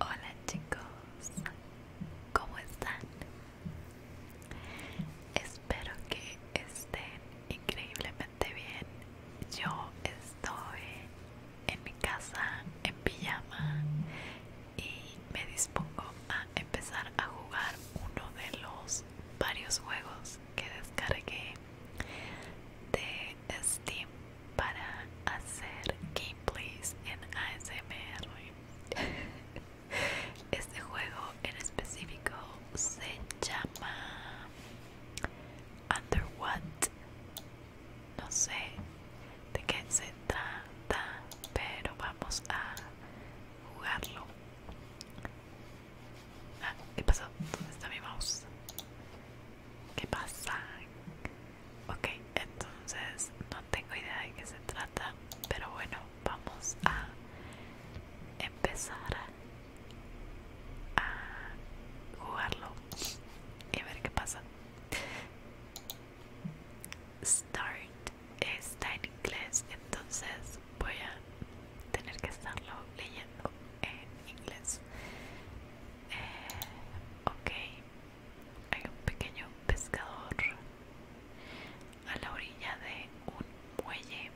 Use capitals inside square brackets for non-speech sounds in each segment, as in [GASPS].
Hola chicos, ¿cómo están? Espero que estén increíblemente bien. Yo estoy en mi casa en pijama y me dispongo a empezar a jugar uno de los varios juegos que descargué de Steam para hacer gameplays en ASMR. [LAUGHS] Este juego en específico se llama Under What. No sé de qué se trata, pero vamos a jugarlo. Ah, ¿qué pasó? ¿Dónde está mi mouse? ¿Qué pasa? Ok, entonces no tengo idea de qué se trata, pero bueno, vamos a empezar a jugarlo y a ver qué pasa. Start está en inglés, entonces voy a tener que estarlo leyendo en inglés ok hay un pequeño pescador a la orilla de un muelle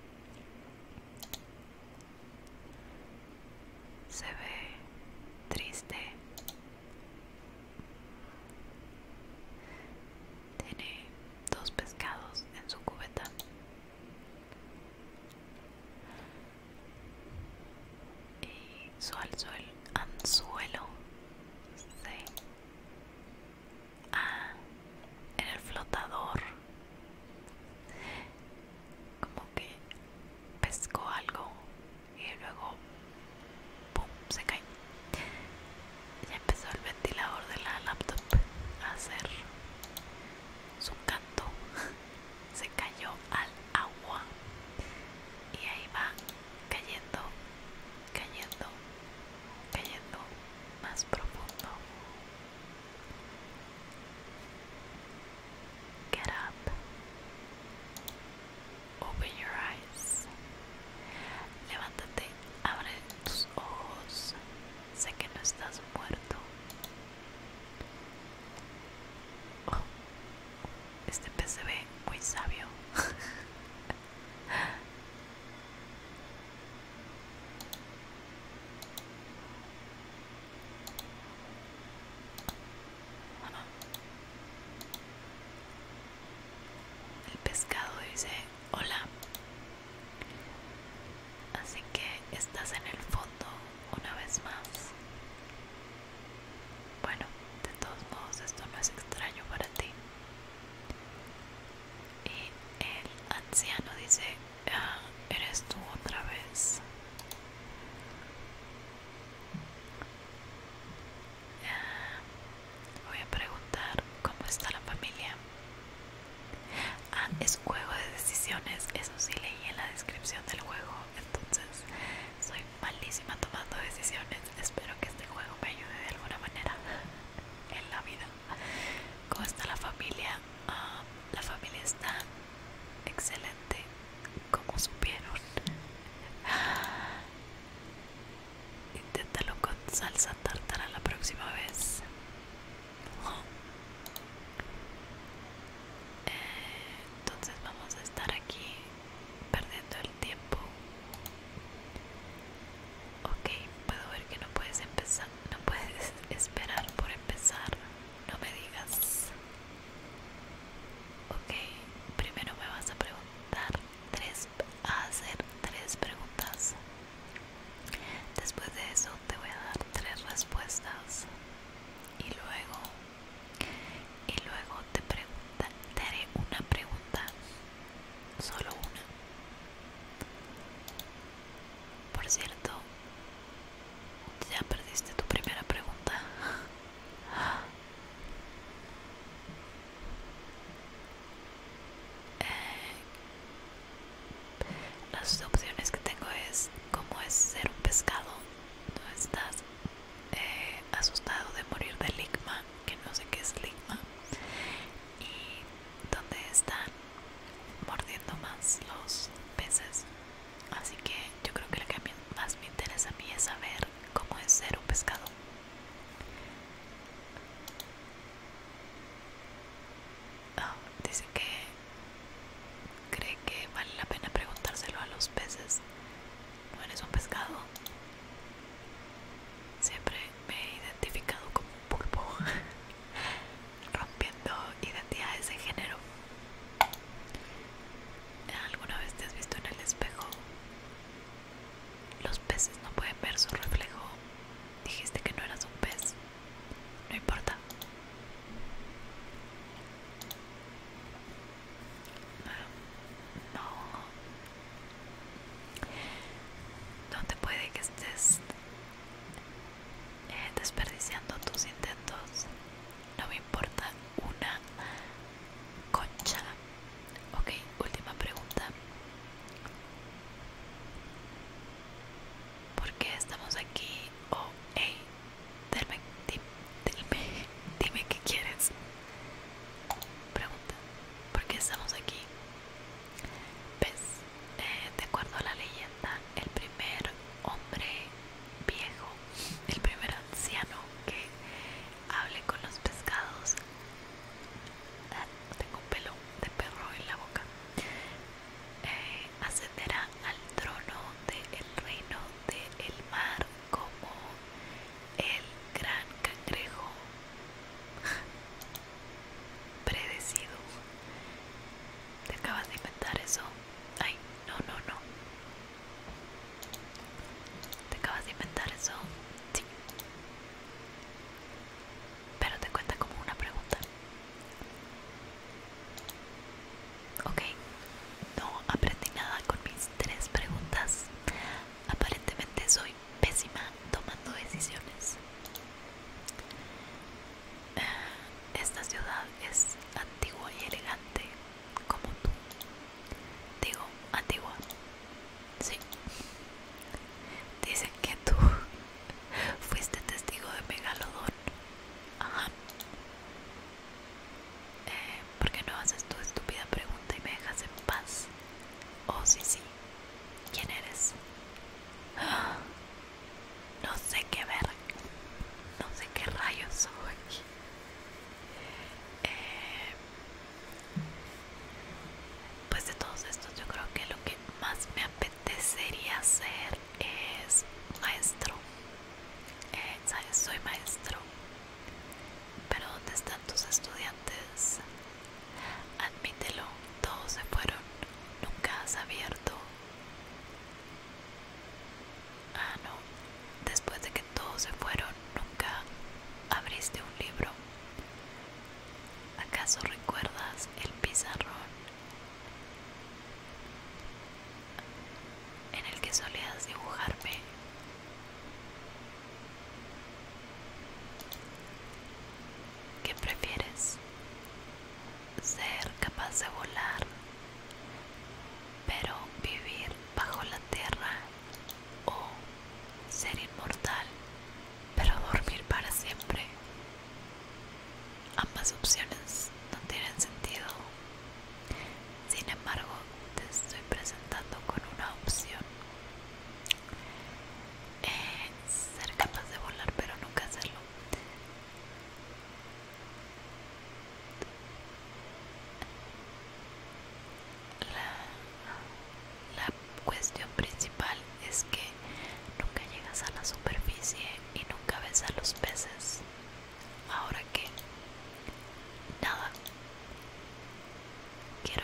se ve triste tiene dos pescados en su cubeta y su el anzuelo. Sí. en el flotador como que pescó algo y luego se cae ya empezó el ventilador de la laptop a hacer su canto [LAUGHS] se cayó al agua y ahí va cayendo, cayendo, cayendo más profundo. Get up. Open your eyes. Levántate, abre tus ojos. Sé que no estás muerto. Oh, este pez se ve muy sabio. El pescado dice hola. Así que estás en el fondo una vez más. Bueno, de todos modos esto no es extraño para ti. Y el anciano dice, ah, eres tú otra vez. Ah, voy a preguntar cómo está la familia. Ah, juego de decisiones, eso sí leí en la descripción del juego, entonces soy malísima tomando decisiones, espero que este juego me ayude de alguna manera [LAUGHS] en la vida. ¿Cómo está la familia? Ah, la familia está excelente, como supieron. [GASPS] Inténtalo con salsa tartara la próxima vez entonces vamos a estar aquí perdiendo el tiempo ok puedo ver que no puedes empezar no puedes [LAUGHS] esperar por empezar no me digas ok primero me vas a preguntar tres a hacer tres preguntas después de eso te voy a dar tres respuestas y luego y luego te preguntaré una pregunta, solo una. Por cierto, ya perdiste tu primera pregunta. [LAUGHS] Eh, las opciones que tengo es cómo es ser un pescado, no estás eh, asustado de morir de ligma, que no sé qué es ligma, y Dónde están mordiendo más los peces. Así que yo creo que lo que más me interesa a mí es saber cómo es ser un pescado. Ah dice que cree que vale la pena preguntárselo a los peces. ¿No eres un pescado? Siempre me he identificado como un pulpo, [LAUGHS] rompiendo identidades de género. ¿Alguna vez te has visto en el espejo? Los peces no pueden ver su reflejo. Dijiste que no eras un pez. No importa. No. No te puede que estés eh, desperdiciando tus intentos. No me importa una concha. Ok, última pregunta por qué estamos aquí oh, hey dime, dime dime qué quieres pregunta por qué estamos aquí Pues, de acuerdo a la leyenda el primer hombre viejo el primer anciano que hable con los pescados ah, tengo un pelo de perro en la boca eh, ascenderá al trono del reino del mar como el gran cangrejo [LAUGHS] predecido. ¿Te acabas de inventar eso? Ay, no, no, no. ¿Te acabas de inventar eso? Pero te cuenta como una pregunta. Ok, no aprendí nada con mis tres preguntas. Aparentemente soy pésima tomando decisiones. Eh, esta ciudad es antigua y elegante como tú. Digo, antigua. Sí. Dicen que tú Fuiste testigo de Megalodon? Ajá. Eh, ¿Por qué no haces tu estúpida pregunta y me dejas en paz? Oh, sí, sí. ¿Quién eres? [GASPS] No sé qué ver. No sé qué rayos soy. aquí eh, pues de todos estos yo creo que lo que más me apetecería hacer es maestro. Eh, ¿Sabes? Soy maestro. Pero ¿dónde están tus estudiantes? Admítelo, todos se fueron. Nunca has abierto. Ah, no. Después de que todos se fueron, nunca abriste un libro. ¿Acaso recuerdas el pizarrón en el que solías dibujarme. ¿Qué prefieres? Ser capaz de volar, pero vivir bajo la tierra o ser inmortal, pero dormir para siempre. Ambas opciones no tienen sentido. Sin embargo, te estoy presentando con una opción. Eh, ser capaz de volar pero nunca hacerlo. La, la cuestión principal es que nunca llegas a la superficie y nunca ves a los peces. Ahora que nada. Quiero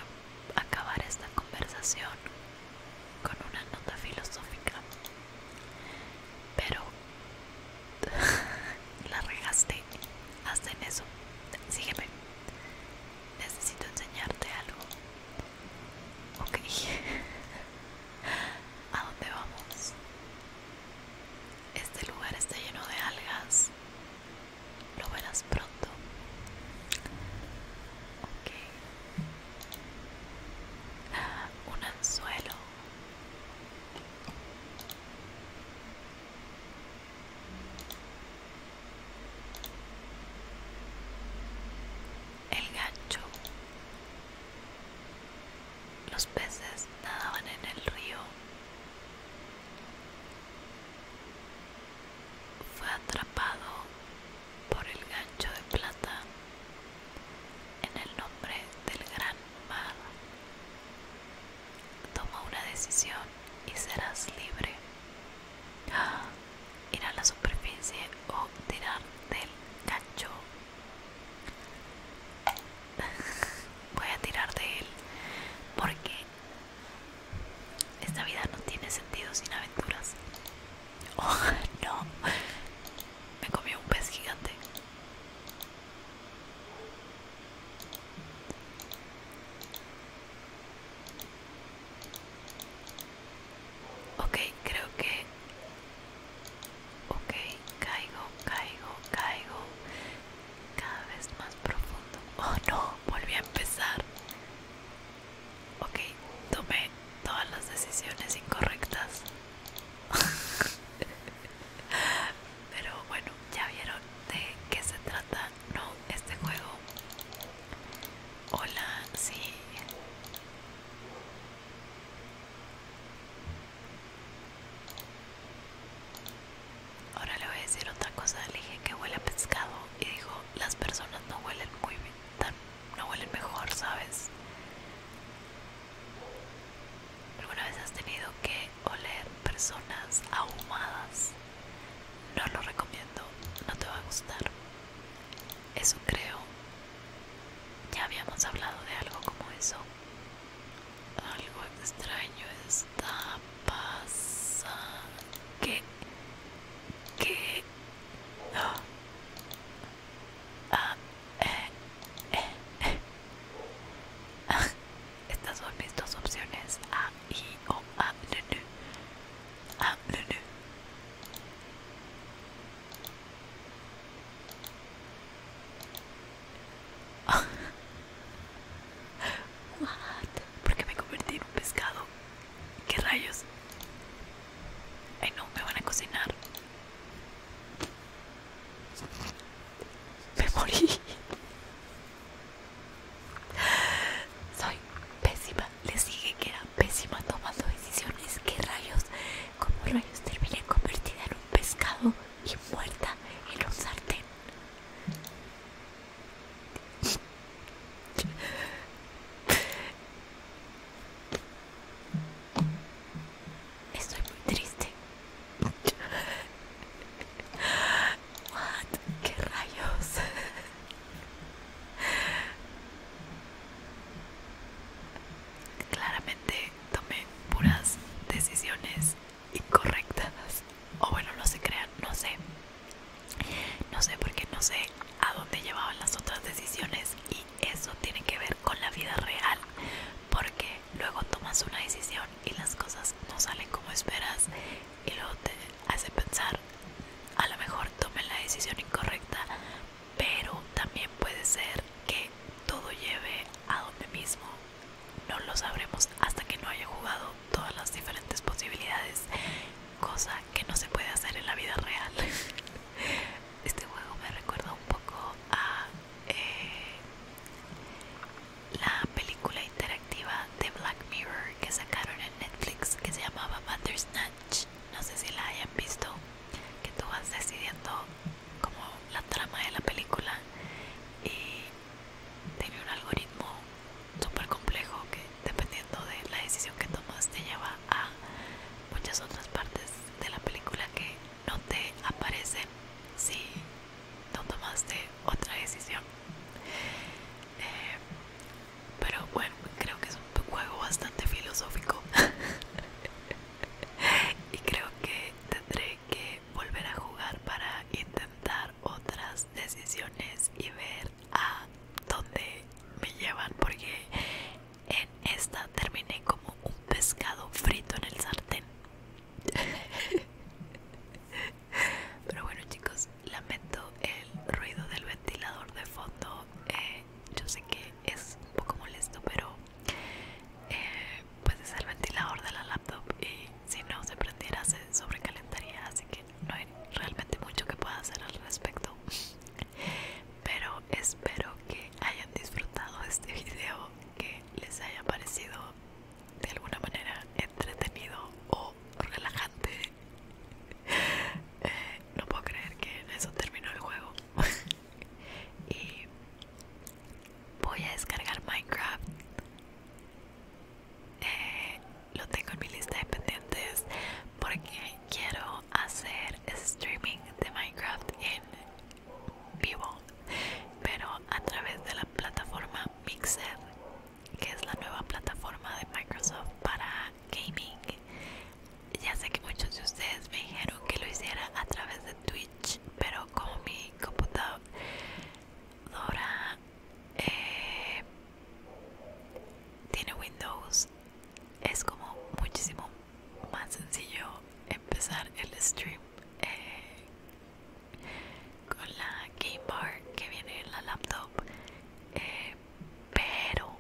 acabar esta conversación con una nota filosófica. Pero [LAUGHS] la regaste. Hasta en eso. Sígueme. Necesito enseñarte algo. Ok. [LAUGHS] ¿A dónde vamos? Este lugar está lleno de algas. Lo verás pronto. Ok. Un anzuelo el gancho. Los peces nadaban en el río. Fue atrapado por el gancho de plata en el nombre del gran mar. Toma una decisión y serás libre. ¡Ah! ir a la superficie o tirar del gancho. [LAUGHS] Voy a tirar de él porque esta vida no tiene sentido sin aventuras. [LAUGHS] Oh, no. Me comió un pez gigante. Ok, creo que... Ok, caigo, caigo, caigo. Cada vez más profundo. [LAUGHS] Oh no, volví a empezar. Ok, tomé todas las decisiones incorrectas. [LAUGHS] Pero bueno, ya vieron de qué se trata, ¿no? Este juego. Hola, sí. Ahora le voy a decir otra cosa. Le dije que huele a pescado y dijo, las personas no huelen muy bien, no huelen mejor, ¿sabes? ¿Alguna vez has tenido que oler personas ahumadas? No lo recomiendo, no te va a gustar. Eso creo. Ya habíamos hablado de algo como eso. Algo extraño está pasando. ¿Qué? ¿Qué? Ah. Ah, eh, eh, eh. Ah, estas son mis dos opciones. A, I o A, L, N. A, L, N. Porque [LAUGHS] ¿Por qué me convertí en un pescado? ¿Qué rayos? Ay no, me van a cocinar. [LAUGHS] Me morí. Soy pésima les dije que era pésima tomando decisiones. ¿Qué rayos? ¿Cómo rayos terminé convertida en un pescado y muerta en un sartén? Estoy muy triste. ¿Qué rayos? Claramente tomé puras decisiones incorrectas. O bueno, no se crean, no sé. No sé porque no sé a dónde llevaban las otras decisiones y eso tiene que ver con la vida real. Porque luego tomas una decisión y las cosas no salen como esperas y luego te hace pensar a lo mejor tomen la decisión incorrecta pero también puede ser que todo lleve a donde mismo no lo sabremos hasta que no haya jugado todas las diferentes posibilidades cosa que no se puede hacer en la vida real [LAUGHS] este juego me recuerda un poco a eh, la película interactiva de Black Mirror que sacaron en Netflix que se llamaba Snatch no sé si la hayan visto, que tú vas decidiendo como la trama de la película y tiene un algoritmo súper complejo que dependiendo de la decisión que tomas te lleva a muchas otras partes de la película que no te aparecen si no tomaste otra decisión. Eh, pero bueno creo que es un juego bastante filosófico [LAUGHS] y creo que tendré que volver a jugar para intentar otras decisiones y ver a dónde me llevan porque en esta terminé como un pescado frito en el sartén [LAUGHS] pero bueno chicos lamento el ruido del ventilador de fondo. Eh, yo sé que es un poco molesto, pero eh, pues es el ventilador de la laptop y si no se prendiera se sobrecalentaría, así que no hay realmente mucho que pueda hacer al respecto. Pero espero que hayan disfrutado este video, que les haya parecido de alguna manera entretenido o relajante no puedo creer que eso terminó el juego. [LAUGHS] y voy a descargar Minecraft. Eh, lo tengo en mi lista de pendientes porque quiero hacer streaming de Minecraft en vivo, pero a través de la plataforma Mixer que es la nueva plataforma de Microsoft para gaming. Ya sé que muchos de ustedes me dijeron que lo hiciera a través de Twitch, pero como mi computadora eh, tiene Windows, es como muchísimo más sencillo empezar el stream eh, con la Game Bar que viene en la laptop. Eh, pero,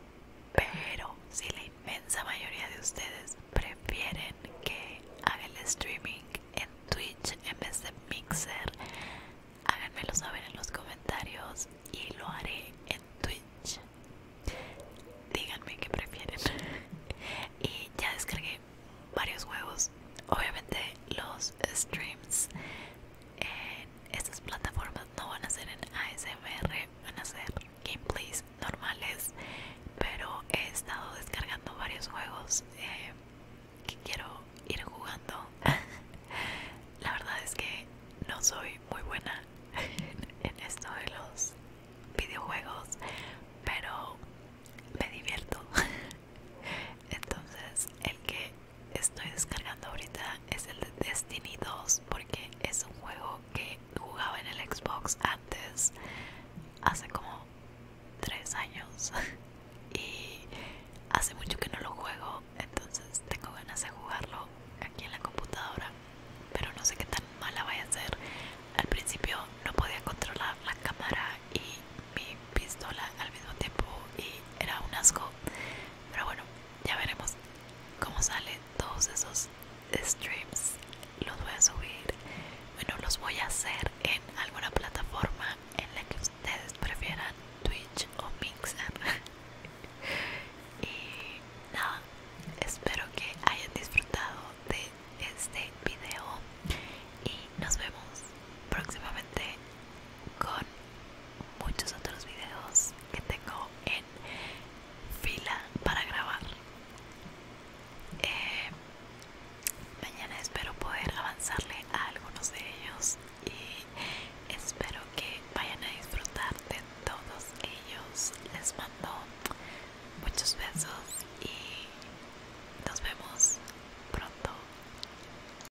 pero si la inmensa mayoría de ustedes prefieren que haga el streaming en Twitch en vez de Mixer, háganmelo saber en los comentarios y lo haré en Twitch. Díganme qué prefieren. y ya descargué varios juegos. Obviamente los streams en estas plataformas no van a ser en ASMR, van a ser gameplays normales, pero he estado descargando varios juegos eh, que quiero ir jugando. [LAUGHS] La verdad es que no soy muy buena [LAUGHS] en esto de los videojuegos, pero me divierto. [LAUGHS] Entonces, el que estoy descargando ahorita es el de Destiny 2 porque es un juego que jugaba en el Xbox antes hace como 3 años [LAUGHS] y hace mucho que no lo juego entonces tengo ganas de jugarlo aquí en la computadora pero no sé qué tan mala vaya a ser al principio no podía controlar la cámara y mi pistola al mismo tiempo y era un asco pero bueno, ya veremos cómo salen todos esos streams. Los voy a subir, bueno, los voy a hacer en alguna plataforma en la que ustedes prefieran, Twitch o Mixer. [LAUGHS] y nada, espero que hayan disfrutado de este video y nos vemos próximamente con muchos otros videos que tengo en fila para grabar. Eh, mañana espero poder avanzarle a algunos de ellos y espero que vayan a disfrutar de todos ellos. Les mando muchos besos y nos vemos pronto.